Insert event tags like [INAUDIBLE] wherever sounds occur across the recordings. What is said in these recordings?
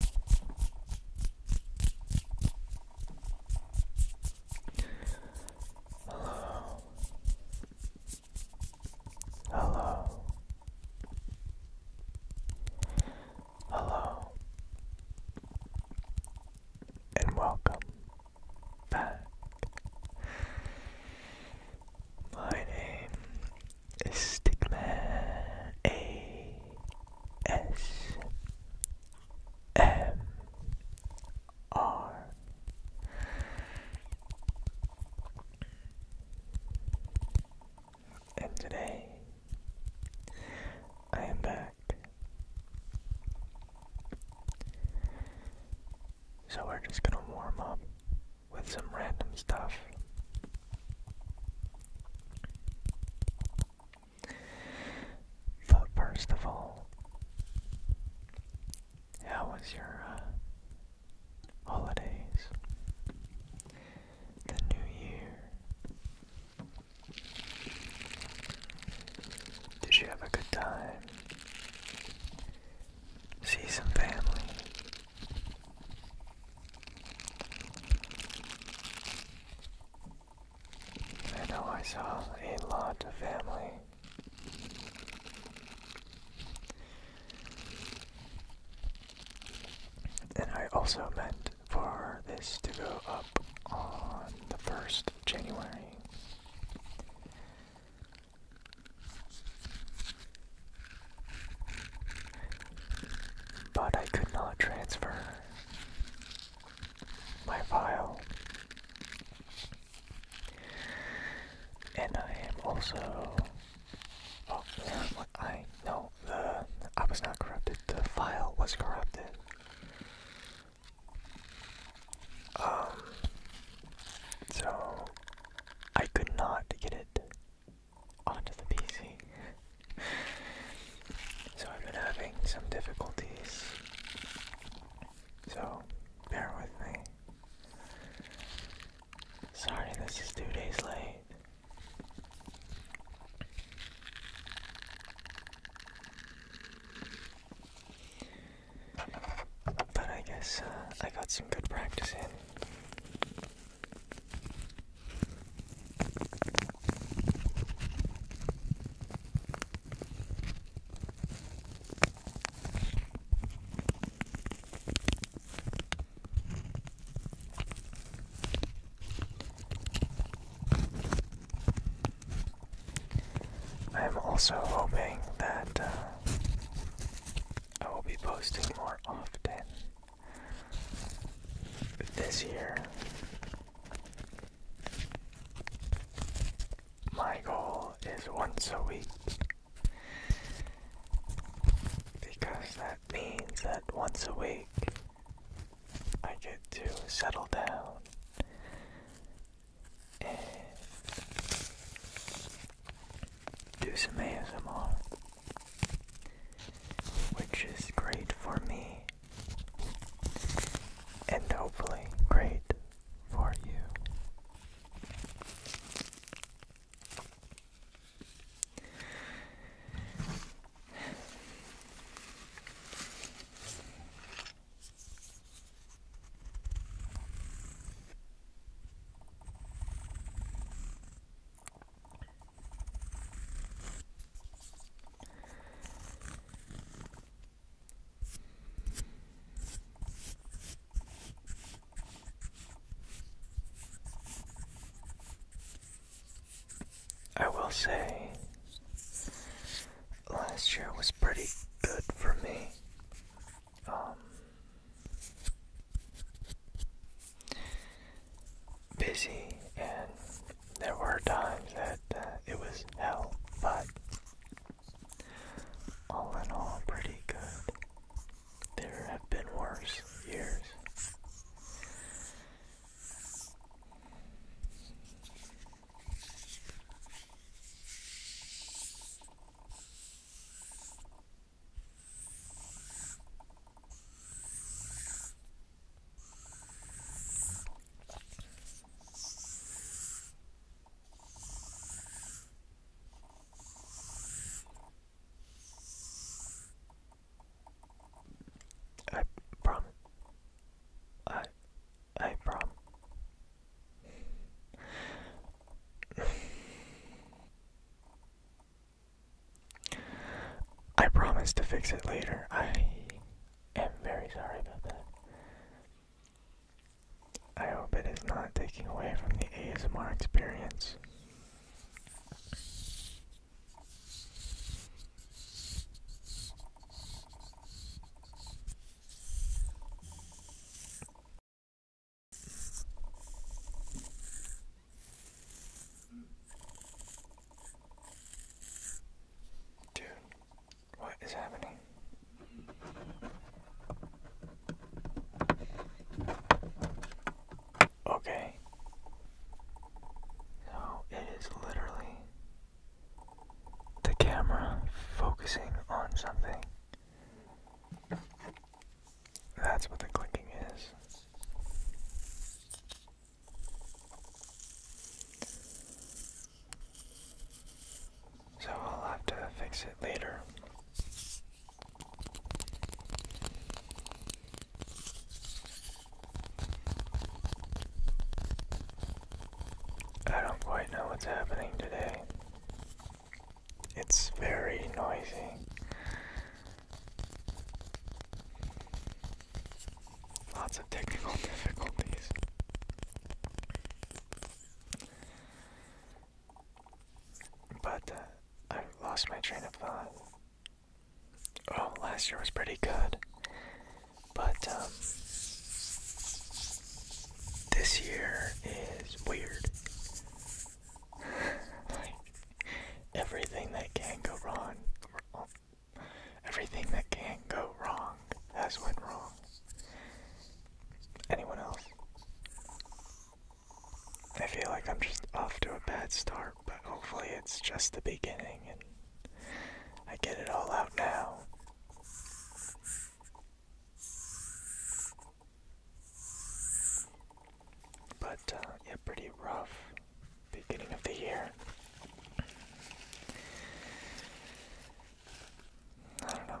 Hello. Hello. Hello. And welcome back. My name Stickman A S M R and today I am back. So we're just gonna warm up with some random stuff. But first of all, how was your uh, holidays? The new year? Did you have a good time? See some family? I know I saw a lot of family. And I also meant for this to go up on the 1st of January. But I could not transfer my file. And I am also. Oh, I. know the. I was not corrupted. The file was corrupted. Um. So. I could not get it onto the PC. so I've been having some difficulties. So bear with me. Sorry, this is two days late. But I guess uh, I got some good practice in. I'm also hoping that uh, I will be posting more often this year, my goal is once a week because that means that once a week I get to settle down do some ASMR, which is great for me and hopefully great for you. I will say, last year was pretty good for me um, busy, and there were times that uh, it was hell, but all in all, pretty good. There have been worse years. I promise. I I prom. [SIGHS] I promise to fix it later. I am very sorry about that. I hope it is not taking away from the ASMR experience. Dude, what is happening? Okay. So it is literally the camera focusing on something that's what the clicking is. So I'll have to fix it later. I don't quite know what's happening today. It's very noisy. Lots of technical [LAUGHS] difficulties. But uh, I lost my train of thought. Oh, last year was pretty good. But, um, this year is weird. like, everything that can go wrong, everything that can go wrong has went wrong. Anyone else? I feel like I'm just off to a bad start, but hopefully it's just the beginning and I get it all out now. But uh, yeah, pretty rough beginning of the year. I don't know.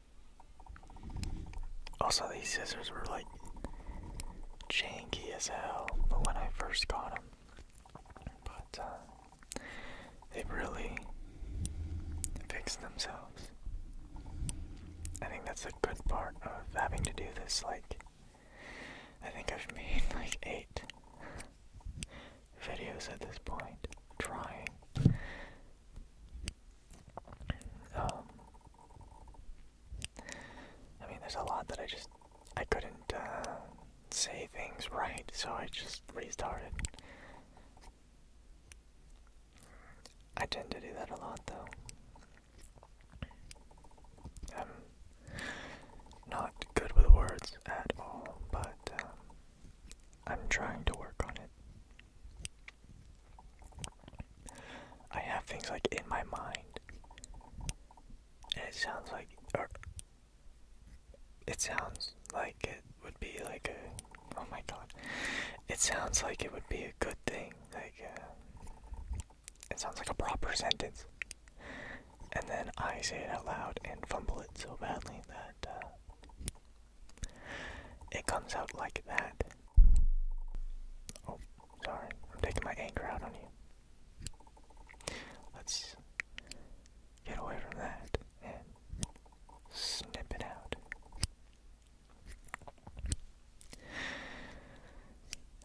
Also, these scissors were like janky as hell when I first got them. But uh, they really fix themselves. I think that's a good part of having to do this. Like, I think I've [LAUGHS] made like eight videos at this point, trying um, I mean, there's a lot that I just I couldn't uh, say things right, so I just restarted. I tend to do that a lot, though. I'm not good with words at all, but um, I'm trying to work on it. I have things like in my mind, and it sounds like, or it sounds like it would be like a, oh my god, it sounds like it would be a good thing, like, uh, it sounds like a proper sentence. And then I say it out loud and fumble it so badly that uh, it comes out like that. Oh, sorry. I'm taking my anger out on you. Let's get away from that and snip it out.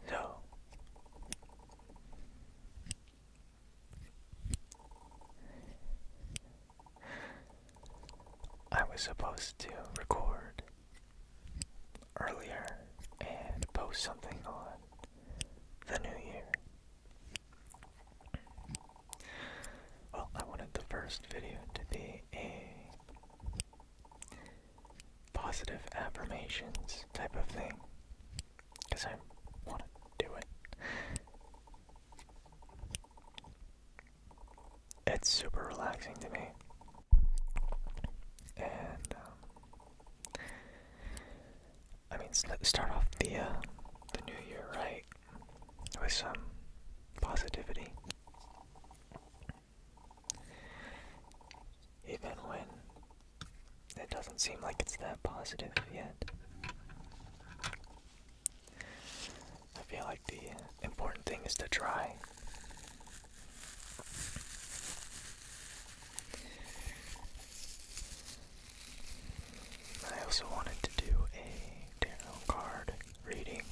So, I was supposed to record earlier and post something on the new year. Well, I wanted the first video to be a positive affirmations type of thing because I want to do it. It's super relaxing to me. And um, I mean, start off the uh, the new year right with some positivity. Even when it doesn't seem like it's that positive yet. I feel like the important thing is to try. I also wanted to do a tarot card reading.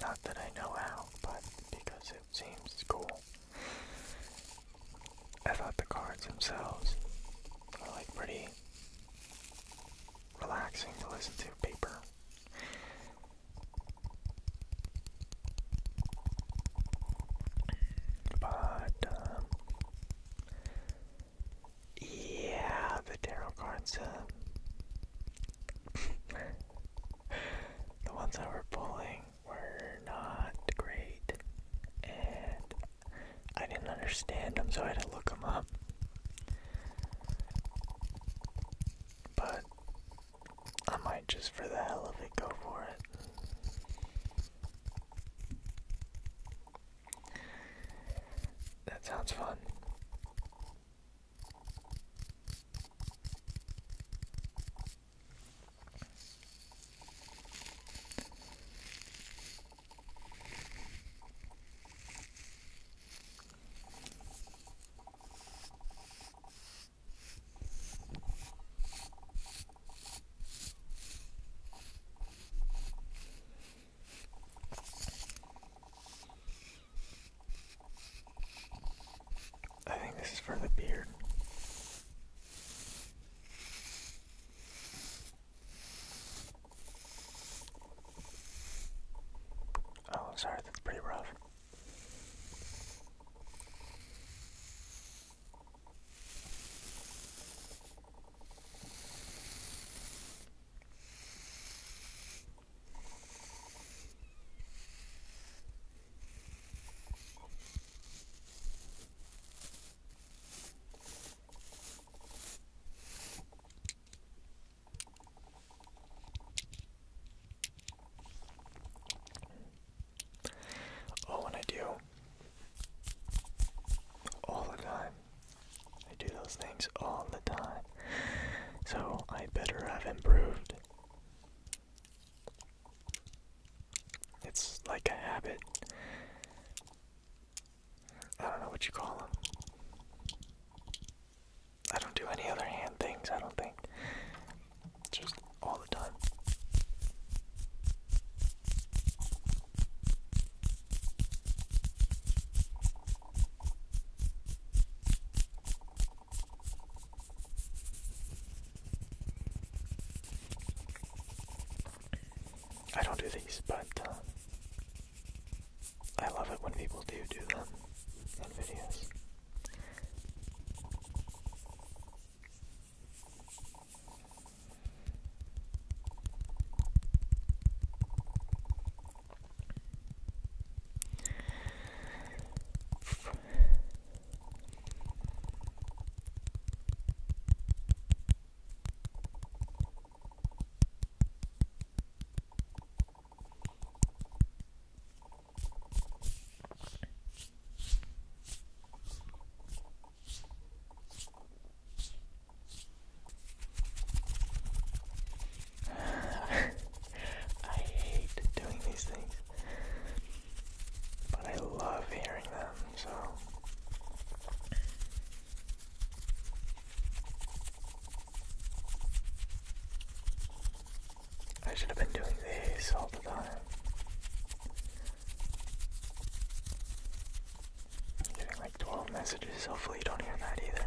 Not that I know how, but because it seems cool. I thought the cards themselves were like pretty relaxing to listen to paper. But um, yeah, the tarot cards, uh, [LAUGHS] the ones that were pulling were not great, and I didn't understand them, so I had to look them up. But I might just for the hell of it go for it. That sounds fun. I think this is for the beard. Oh, sorry, that's pretty rough. Oh, and I do all the time. I do those things all the time. So I better have improved it's like a habit. I don't know what you call them. I don't do any other hand things, I don't think. Just all the time. I don't do these, but uh, I love it when people do do them on videos. I hate doing these things. But I love hearing them, so. I should have been doing these all the time. getting like 12 messages, hopefully you don't hear that either.